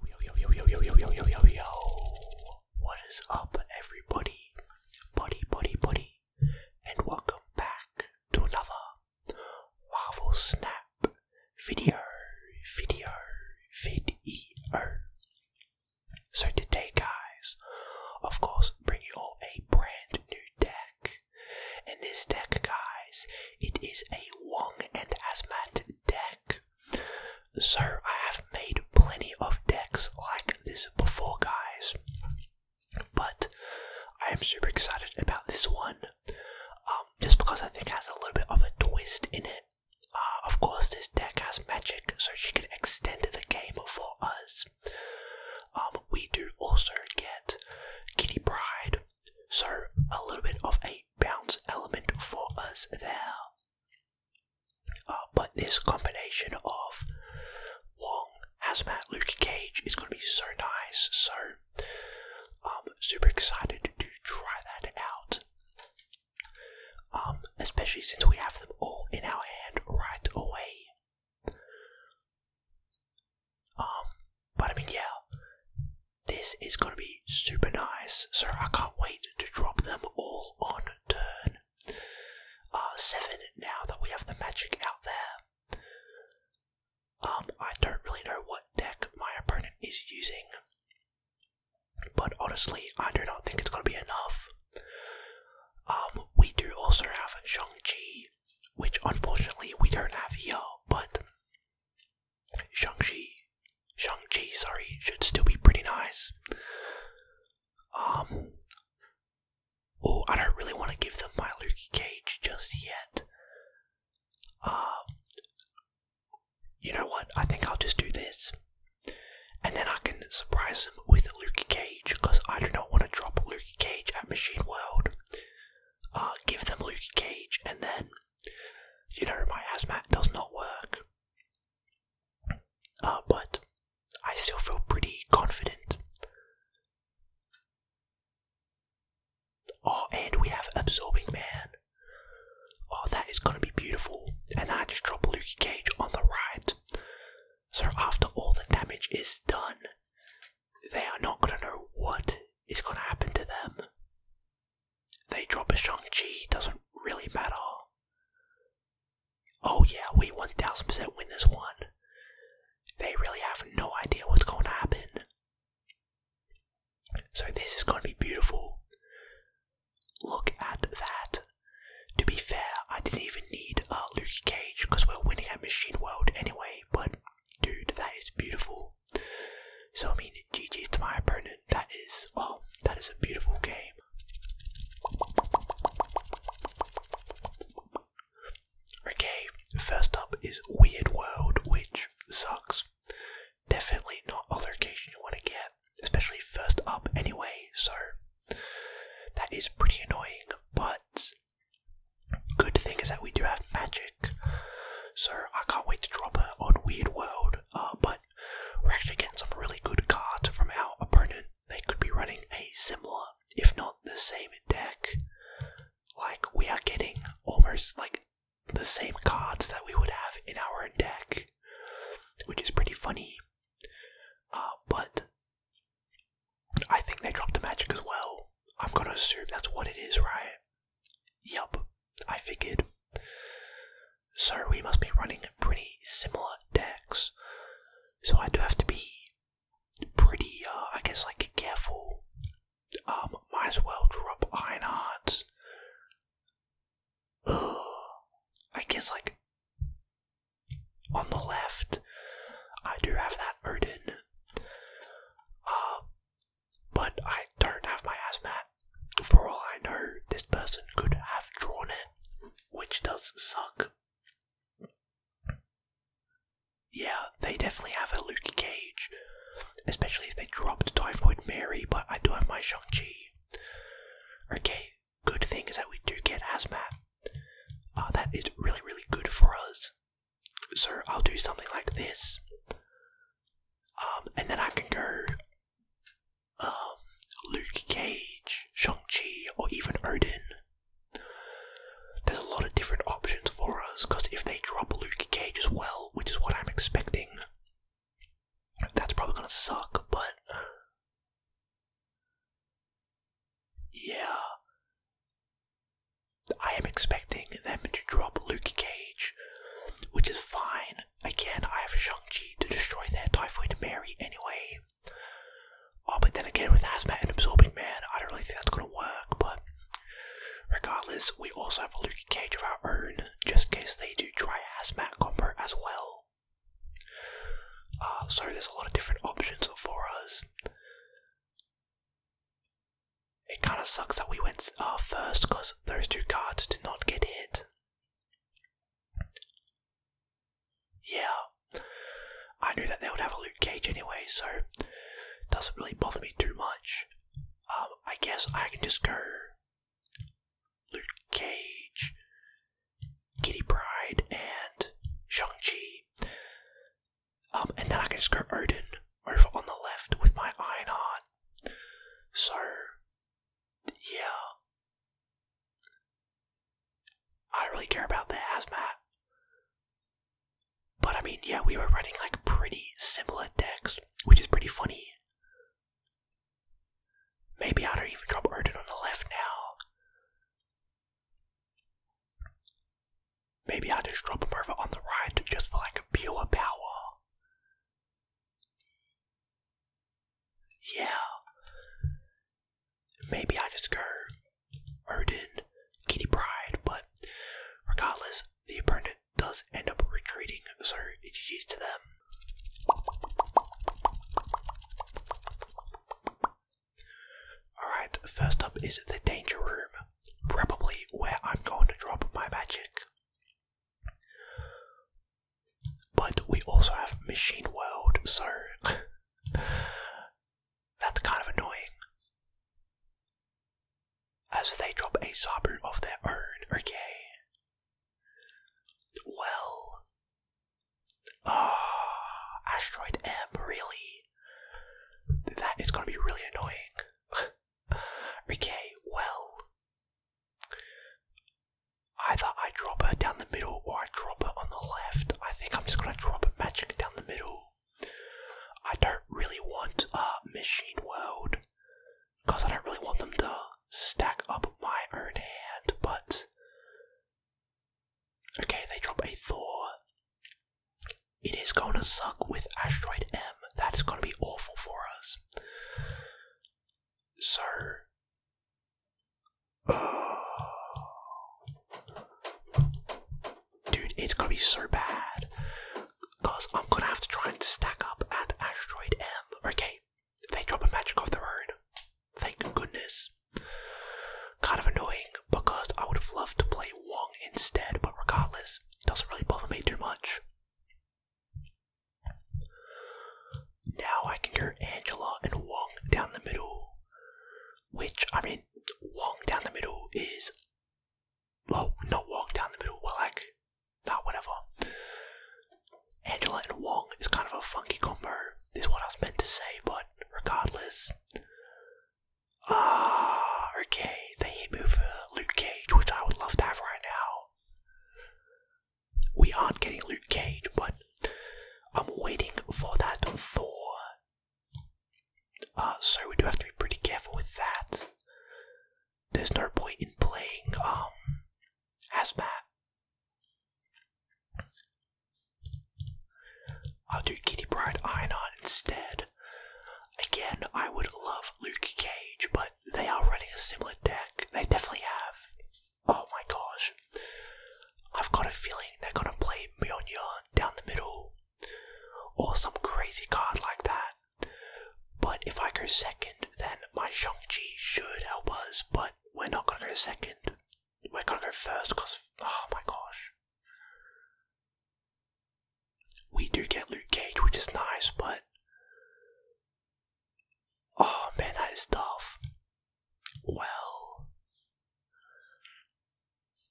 Yo, yo, yo, yo, yo, yo, yo, yo, yo, yo, What is up, everybody? Buddy, buddy, buddy. And welcome back to another Marvel Snap video, video, video. So today, guys, of course, bring you all a brand new deck. And this deck, guys, it is a Wong and Asmat deck. So I have made plenty of decks like this before, guys. But I am super excited about this one, um, just because I think it has a little bit of a twist in it. Uh, of course, this deck has magic, so she can extend the game for us. Um, we do also get Kitty Pride, so a little bit of a bounce element for us there. Uh, but this combination of Wong, Hazmat, Luke Cage is going to be so nice. So I'm super excited to try that out. Um, especially since we have them all in our hand right away. Um, but I mean, yeah, this is going to be super nice, so I can't wait to drop them all on turn. Uh, 7 now that we have the magic out there. Um, I don't really know what deck my opponent is using, but honestly, I do not think it's going to be enough. Um, we do also have Shang-Chi, which unfortunately we don't have here, but Shang-Chi, Shang-Chi, sorry, should still be pretty nice. oh, I don't really want to give them my Luke Cage just yet. Um, you know what? I think I'll just do this, and then I can surprise them with a Luke Cage because I do not want to drop a Luke Cage at Machine World. Uh, give them Luke Cage, and then you know, my hazmat does not work. Uh, but I still feel pretty confident. Oh, and we have Absorbing Man. Oh, that is going to be beautiful. And I just drop Luke Cage on the right. So after all the damage is done, they are not going to know what is going to happen to them. They drop a Shang-Chi, doesn't really matter. Oh yeah, we 1000% win this one. They really have no idea what's going to happen. So this is going to be beautiful. Look at that. To be fair, I didn't even need a uh, Luke Cage because we're winning at Machine World anyway, but dude, that is beautiful. So I mean, GG's to my opponent. That is, oh, that is a beautiful game. Okay, first up is Weird World, which sucks. Definitely not a location you want to get, especially first up anyway, so that is pretty annoying, but Good thing is that we do have magic, so I can't wait to drop her on Weird World. Uh, but we're actually getting some really good cards from our opponent. They could be running a similar, if not the same, deck. Like, we are getting almost like the same cards that we would have in our deck, which is pretty funny. Uh, but I think they dropped the magic as well. I'm gonna assume that's what it is, right? Yup, I figured. So we must be running pretty similar decks. So I do have to be pretty, uh, I guess, like careful. Um, might as well drop Iron Hearts. I guess like on the left, I do have that Odin. Uh, but I don't have my hazmat. For all I know, this person could have drawn it, which does suck. Yeah, they definitely have a Luke Cage, especially if they dropped Typhoid Mary, but I do have my Shang-Chi. Okay, good thing is that we do get hazmat. Uh, that is really, really good for us. So I'll do something like this, um, and then I can go um, Luke Cage, Shang-Chi, or even Odin. There's a lot of different options for us because if they drop Luke Cage as well, which is what I'm expecting, that's probably gonna suck, but. Yeah. I am expecting them to drop Luke Cage, which is fine. Again, I have Shang-Chi to destroy their Typhoid Mary anyway. Oh, but then again, with Hazmat and Absorbing Man, I don't really think that's going to work, but regardless, we also have a Luke Cage of our own, just in case they do try Hazmat combo as well. Uh, so there's a lot of different options for us. It kind of sucks that we went uh, first because those two cards did not get hit. Yeah, I knew that they would have a loot Cage anyway, so doesn't really bother me too much. Um, I guess I can just go loot Cage, Kitty Pride, and Shang-Chi. Um, and then I can just go Odin over on the left with my Iron Heart. So, yeah. I don't really care about the hazmat. But I mean, yeah, we were running like pretty simple decks, which is pretty funny. Maybe I don't even drop Odin on the left now. Maybe I just drop him over on the ride just for like pure power. Yeah. Maybe I just go Odin, Kitty Pride, but regardless, the opponent does end up retreating, so it's used to them. Alright, first up is the danger room, probably where I'm going to drop my magic. But we also have Machine World, so that's kind of annoying. As they drop a Sabu of their own, okay? Well, Ah, Asteroid M, really? That is going to be really annoying. okay, well. Either I drop her down the middle or I drop her on the left. I think I'm just going to drop a magic down the middle. I don't really want a machine world because I don't really want them to stack up my own hand, but Okay, they drop a Thor. It is going to suck with Asteroid M. That is going to be awful for us. So. dude, it's going to be so bad. Because I'm going to have to try and stack up at Asteroid M. Okay, they drop a magic of their road. Thank goodness. Kind of annoying because I would have loved to play Wong instead, but regardless, it doesn't really bother me too much. Now I can hear Angela and Wong down the middle, which, I mean, Wong down the middle is. Well, not Wong down the middle, well, like. Nah, whatever. Angela and Wong is kind of a funky combo, is what I was meant to say, but regardless. Ah, okay. They hit me Luke Cage, which I would love to have right now. We aren't getting Luke Cage, but I'm waiting for that Thor. Uh, so we do have to be pretty careful with that. There's no point in playing um, Hazmat I'll do Kitty Pride Einar instead. Again, I would love Luke Cage, but they are running a similar deck. They definitely have. Oh my gosh. I've got a feeling they're gonna play Mjolnir down the middle or some crazy card like that. But if I go second, then my Shang-Chi should help us, but we're not gonna go second. We're gonna go first because. Oh my gosh. We do get Luke Cage, which is nice, but. Oh man, that is tough. Well.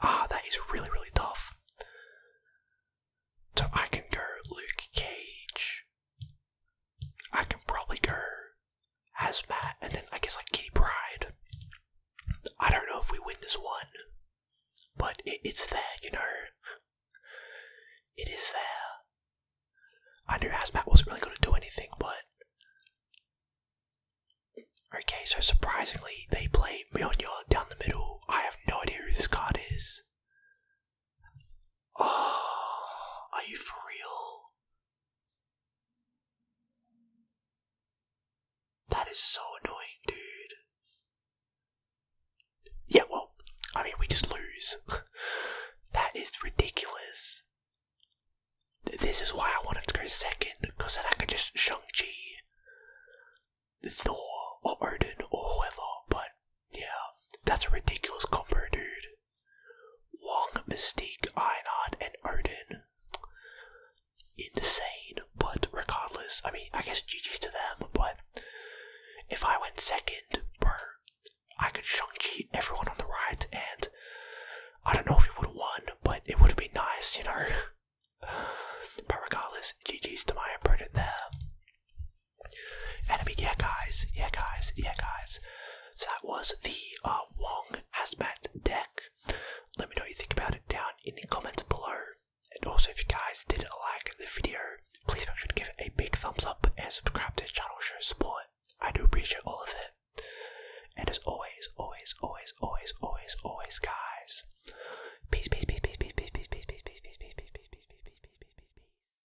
Ah, that is really, really tough. So I can go Luke Cage. I can probably go Hazmat and then I guess like Kitty Pride. I don't know if we win this one, but it's there, you know. It is there. I knew Hazmat wasn't really going to do anything, but. Okay, so surprisingly, they play Mjolnir down the middle. I have no idea who this card is. Oh, are you for real? That is so annoying, dude. Yeah, well, I mean, we just lose. that is ridiculous. This is why I wanted to go second, because then I could just Shang-Chi, Thor, or Odin, or whoever, but yeah, that's a ridiculous combo, dude. Wong, Mystique, Einod, and Odin. Insane, but regardless, I mean, I guess GG's to them, but if I went second, I could shang everyone on the right, and I don't know if it would have won, but it would have been nice, you know? But regardless, GG's to my opponent there. And I mean, yeah, guys, yeah, guys, yeah, guys. So that was the uh, Wong Hazmat deck. Let me know what you think about it down in the comments below. And also, if you guys did like the video, please make sure to give it a big thumbs up and subscribe to the channel, show support. I do appreciate all of it. And as always, always, always, always, always, always, guys. Peace, peace, peace, peace, peace, peace, peace, peace, peace, peace, peace, peace, peace, peace, peace, peace, peace, peace, peace, peace.